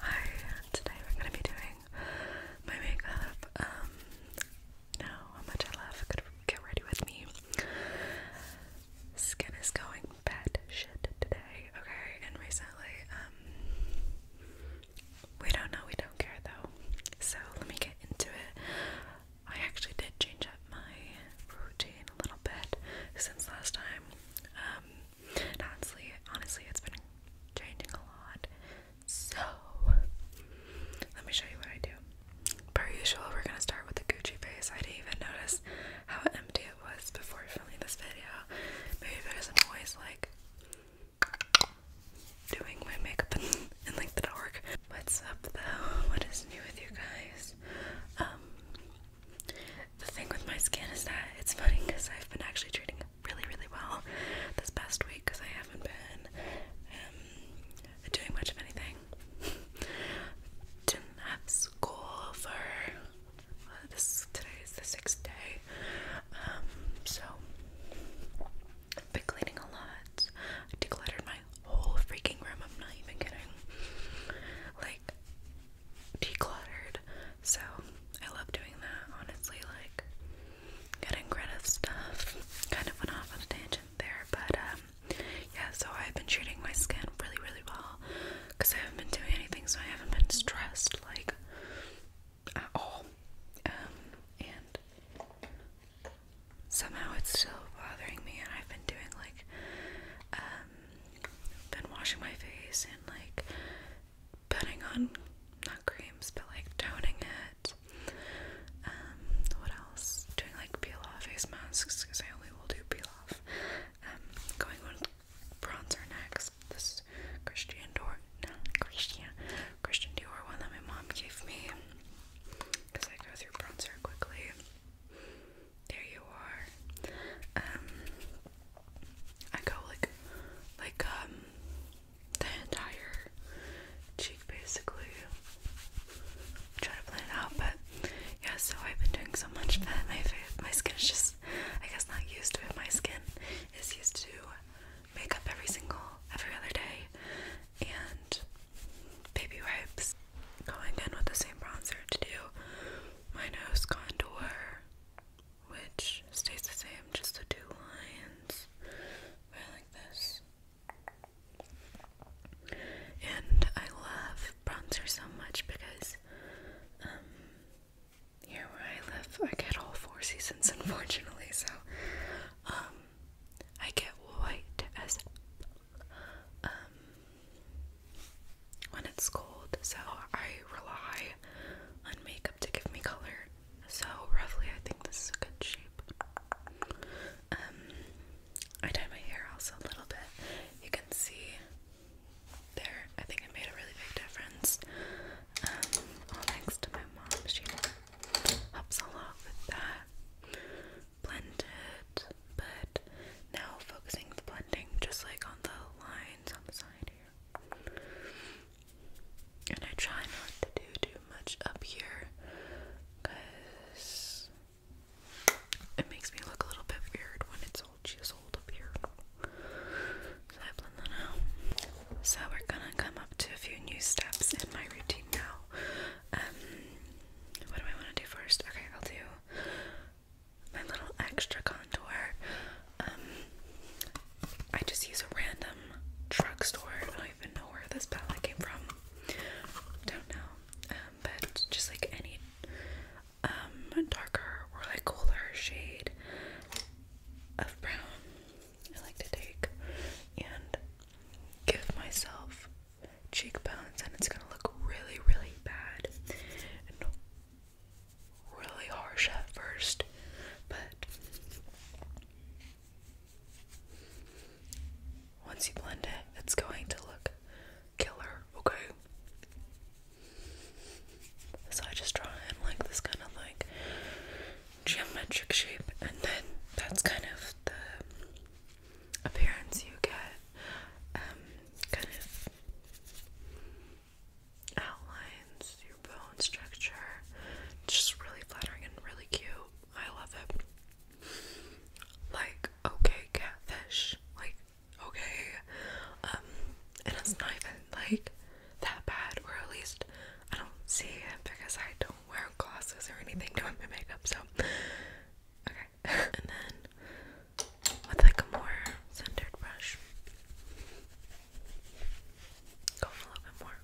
Hi, today we're going to be doing my makeup. Um, how much I love. Could get ready with me. Skin is going bad shit today, okay? And recently, um, we don't know, we don't care though. So let me get into it. I actually did change up my routine a little bit since last time. Um, honestly, honestly, it's been changing a lot. So, let me show you what I do. Per usual, we're gonna start with the Gucci face. I didn't even notice how empty it was before filming this video. Maybe because I'm always like doing my makeup in like the dark. What's up though? What is new with you guys? Um, the thing with my skin is that it's funny because I've been actually treating it really, really well this past week because I haven't been um, doing much of anything. Didn't have school for uh, Today is the sixth day, um, so I've been cleaning a lot. I decluttered my whole freaking room. I'm not even kidding. Like decluttered. So I love doing that, honestly, like getting rid of stuff. Kind of went off on a tangent there, but um, yeah, so I've been treating my skin really, really well because I haven't been doing anything, so I haven't been stressed like at all. Um, and somehow it's still bothering me, and I've been doing like, um, been washing my face and like putting on not creams but like toning it. Um, what else? Doing like peel off face masks because I only will do peel off. Um, going with bronzer next. This Christian Dior, no Christian, Christian Dior one that my mom gave me because I go through bronzer quickly. There you are. Um, I go like like um the entire cheek basically. I to plan out, but yeah, so I've been doing so much that my my skin is just I guess not used to it. My skin is used to makeup every single every other day and baby wipes. Going in with the same bronzer to do my nose contour, which stays the same, just the two lines like this. And I love bronzer so much because um here where I live I get all four seasons unfortunately, so um I get white as um, when it's cold, so I rely on makeup to give me color. So roughly I think this is a good shape. Um, I dyed my hair also a little bit. You can see there, I think it made a really big difference. Um, all thanks to my mom. She helps a lot with that. Blend but now focusing the blending just like on the lines on the side here. And I try not to do too much up here because it makes me look a little bit weird when it's all chiseled up here. So I blend that out. So we're gonna come up to a few new steps in my routine now. Um, what do I want to do first? Okay, I'll do my little extra contour. Um, I just use a random drugstore. I don't even know where this palette came from. Don't know. Um, but just like any um darker or like cooler shade of brown, I like to take and give myself cheekbones, and it's gonna look really, really bad really harsh at first, but once you blend it, it's going to look killer, okay? So I just draw in like this kind of like geometric shape, and then that's kind of the appearance you get. Um, kind of outlines, your bone structure. It's just really flattering and really cute. I love it. Like, okay, catfish. Like, okay. Um, and it's not even like that bad, or at least I don't see it because I don't wear glasses or anything during my makeup, so okay. and then with like a more centered brush. Go a little bit more.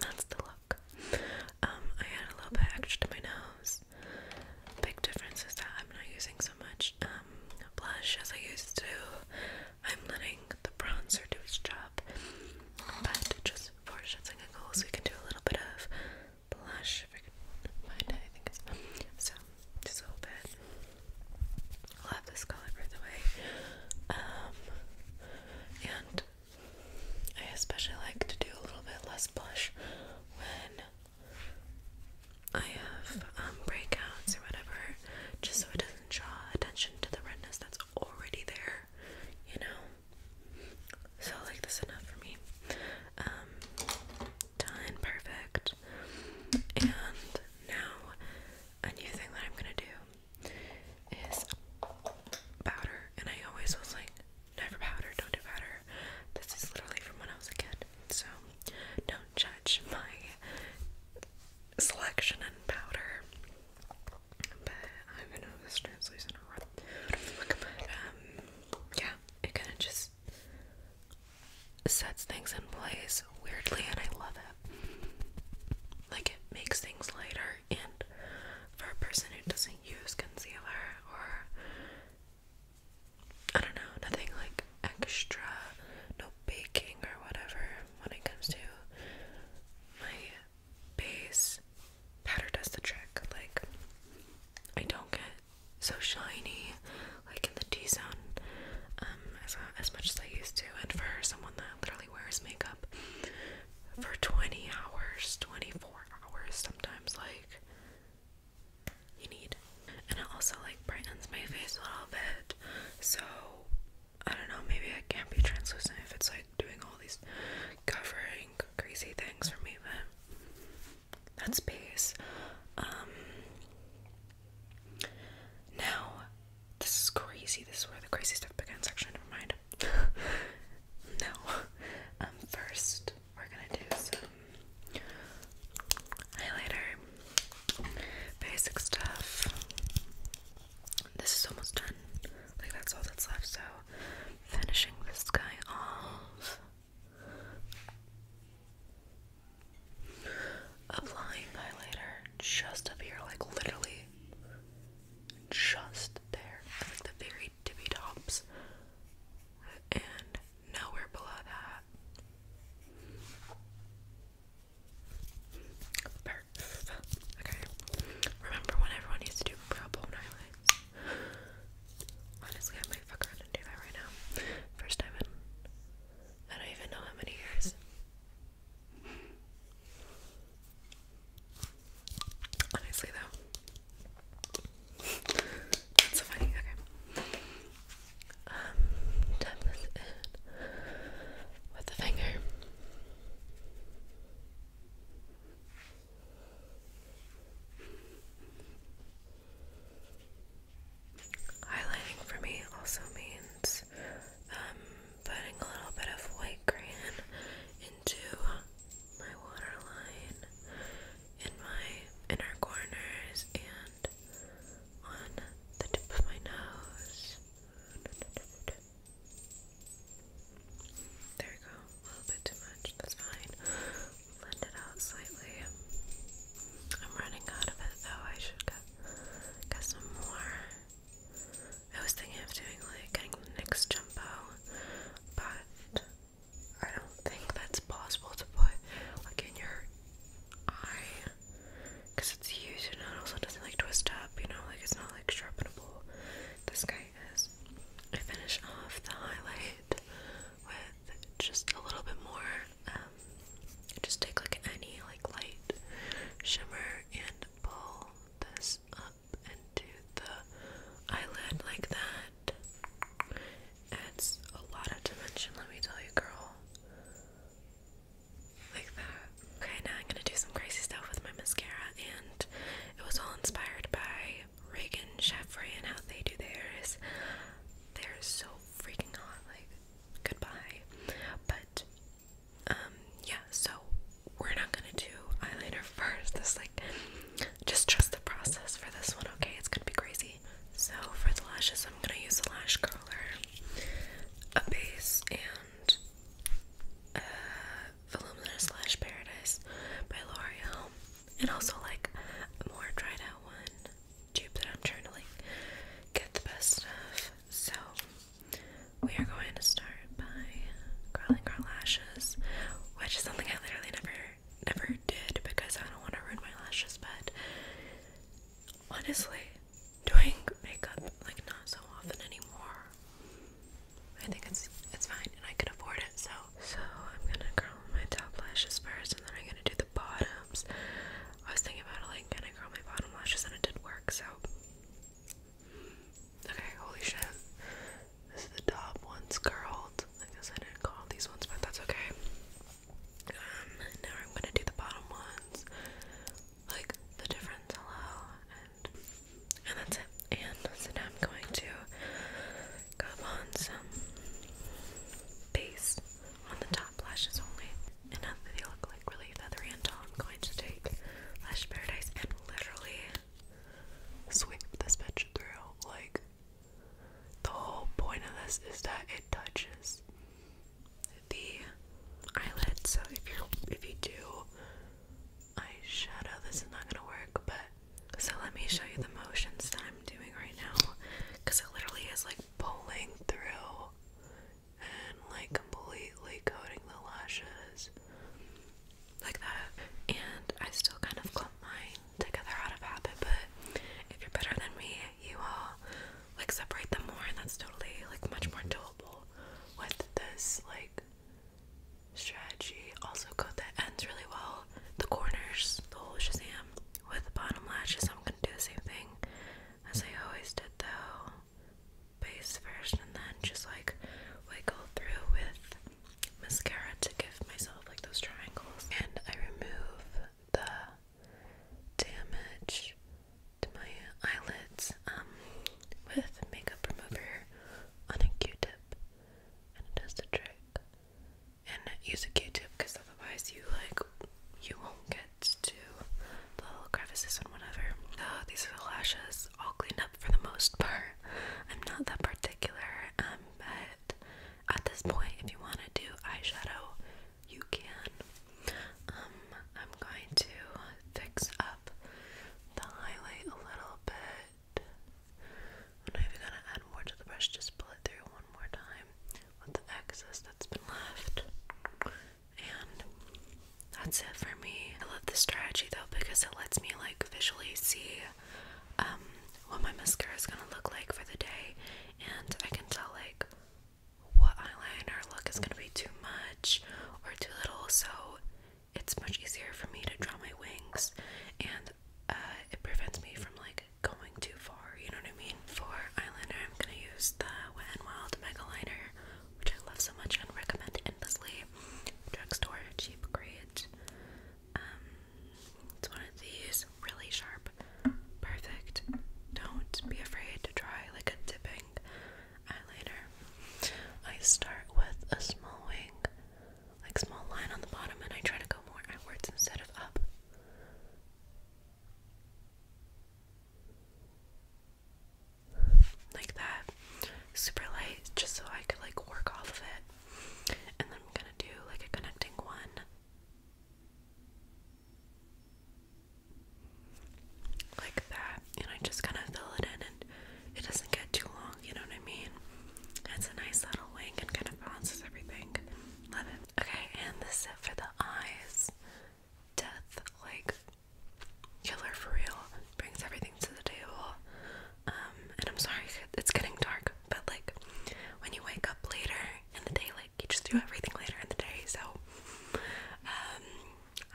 that's the look. Um, I had a little bit extra to my nose. Big difference is that I'm not using so much um, blush as I used to. I'm letting the bronzer do its job. But just for shits and giggles, we can do a little bit of blush, if I can find it, I think it's, so, just a little bit, i this color right away, um, and I especially like to do a little bit less blush when I have, um, breakouts or whatever, just so it doesn't draw attention to the redness that's already there, you know? So like this enough for me. Um, done, perfect. And now a new thing that I'm gonna do is powder. And I always was like, never powder, don't do powder. This is literally from when I was a kid. So don't judge my selection and powder. But I don't know if this translates in um, yeah, it kind of just sets things in place weirdly, and I love it. Like, it makes things lighter, and for a person who doesn't use concealer or I don't know, nothing like extra, no baking or whatever when it comes to my base, powder does the trick. Like, I don't get so shiny, like in the T zone, um, as, uh, as much as I used to. And for someone that literally wears makeup for 20 hours, 24 hours, sometimes, like, you need. And it also, like, brightens my face a little bit. So, I don't know, maybe it can't be translucent if it's, like, doing all these covering crazy things for me, but that space. Um, now, this is crazy. This is where the crazy stuff begins. Actually, never mind. no. Um, first, we're gonna do highlighter, basic stuff. This is almost done. Like that's all that's left. So, finishing this guy off. Applying highlighter just up here, like literally just there, like the very tippy tops, and nowhere below that. Okay. Remember when everyone used to do brow bone highlights? Honestly, I might fuck around and do that right now. First time in I don't even know how many years. Honestly, though, that's so funny. Okay. Um, tap this in with the finger. Highlighting for me also means um, putting a little bit of white crayon into my waterline, in my inner corners, and on the tip of my nose. There we go. A little bit too much. That's fine blend it out slightly. I'm running out of it though. I should get some more. I was thinking of doing like getting the next jumbo, but I don't think that's possible to put like in your eye because it's huge and it also doesn't like twist up. You know, like it's not like sharpenable. This guy is. I finish off the highlight with just a little bit more. Um, just take like any like light shimmer and pull this up into the eyelid like that. Adds a lot of dimension, let me tell you, girl. Like that. Okay, now I'm gonna do some crazy stuff with my mascara, and it was all inspired by Reagan, Chef and how they do theirs. They're so freaking hot, like, goodbye. But, um, yeah, so we're not gonna do eyeliner first. This, like, just trust the process for this one, okay? It's gonna be crazy. So, for the lashes, I'm gonna use a lash curler, a base, and uh, Voluminous Lash Paradise by L'Oreal and also like more tried out one tube that I'm trying to like get the best stuff. So we are going to start by curling our lashes, which is something I literally never never did because I don't want to ruin my lashes, but honestly, doing makeup like not so often anymore. I think it's it's fine and I can afford it, so so I'm gonna curl my top lashes first and then I'm gonna do the bottoms. I was thinking about it like gonna curl my bottom lashes and it did work, so okay, holy shit. This is the top ones curled. I guess I didn't curl these ones, but that's okay. Um, now I'm gonna do the bottom ones. Like the difference hello and and that's it. And so now I'm going to Come on some base on the top lashes only. And now they look like really feathery and tall, I'm going to take Lash Paradise and literally sweep this bitch through. Like, the whole point of this is that it touches the eyelid. So if you if you do eyeshadow, this is not gonna work. But so let me show you the motions that I'm doing right now because it literally is like pulling through and like completely coating the lashes like that. And I still kind of clump mine together out of habit, but if you're better than me, you will like separate them more, and that's totally like much more doable with this like strategy. Also, coat the ends really well the corners, the whole shazam with the bottom lashes. I'm gonna do the same thing as I always did though. Base first and then just like wiggle through with mascara to give myself like those triangles. And I remove the damage to my eyelids um, with makeup remover on a q-tip and it does the trick and use a Q-tip because otherwise you like you won't get to the little crevices and whatever. these are the lashes all cleaned up for the most part. I'm not that particular, um, but at this point, if you want to do eyeshadow, you can. Um, I'm going to fix up the highlight a little bit. I'm not even gonna add more to the brush, just pull it through one more time with the excess that's been left. And that's it for me. I love this strategy though because it lets me like visually see um what my mascara is gonna look like for the day and I can tell like what eyeliner look is gonna be too much or too little so it's much easier for me to draw my wings and uh, it prevents me from like like going too far, you know what I mean? For eyeliner, I'm gonna use the Wet n Wild Mega Liner, which I love so much and recommend endlessly. Drugstore, cheap, great. Um, it's one of these, really sharp, perfect. Don't be afraid to try like a dipping eyeliner. I start with a small wing, like small line on the bottom, and I try to go more outwards instead of up like that super light just so I could like work off of it and then I'm gonna do like a connecting one like that and I just kind of fill it in and it doesn't get too long you know what I mean it's a nice little wing and kind of balances everything Love it. Okay, and this is it for the eyes. Death, like, killer for real. Brings everything to the table. Um, and I'm sorry, it's getting dark, but like, when you wake up later in the day, like, you just do everything later in the day. So, um,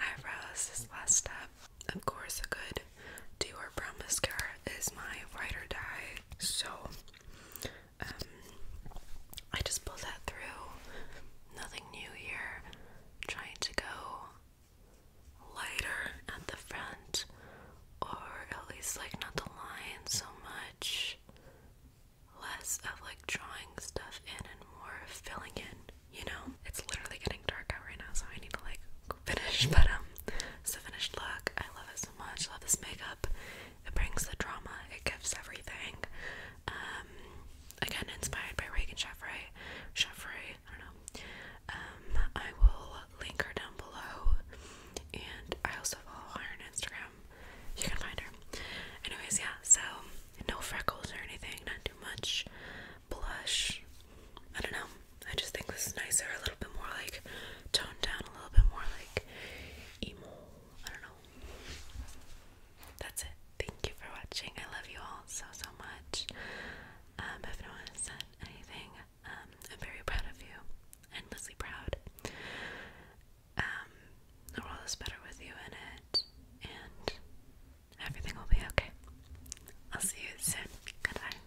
eyebrows, this last step. Of course, a good Dior Brown mascara is my Ride or Die. So, um, I just pulled that through. Nothing new here. trying to go lighter at the front, or at least like not the line so much. Less of like drawing stuff in and more filling in, you know? It's literally getting dark out right now, so I need to like finish. But um, it's a finished look. I love it so much. Love this makeup. It brings the drama, it gives everything. Um, again, inspired by Reagan Chevrolet. Chevrolet, I don't know. Um, I will link her down below, and I also follow her on Instagram. You can find her. Anyways, yeah. So no freckles or anything, not too much blush. I don't know. I just think this is nicer, a little bit more like toned down, a little bit more like emo. I don't know. That's it. Thank you for watching. I love you all so so much. Um, if no one anything, um, I'm very proud of you. Endlessly proud. Um, the world is better with you in it, and everything will be okay. I'll see you soon. Goodbye.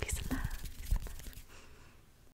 Peace and love.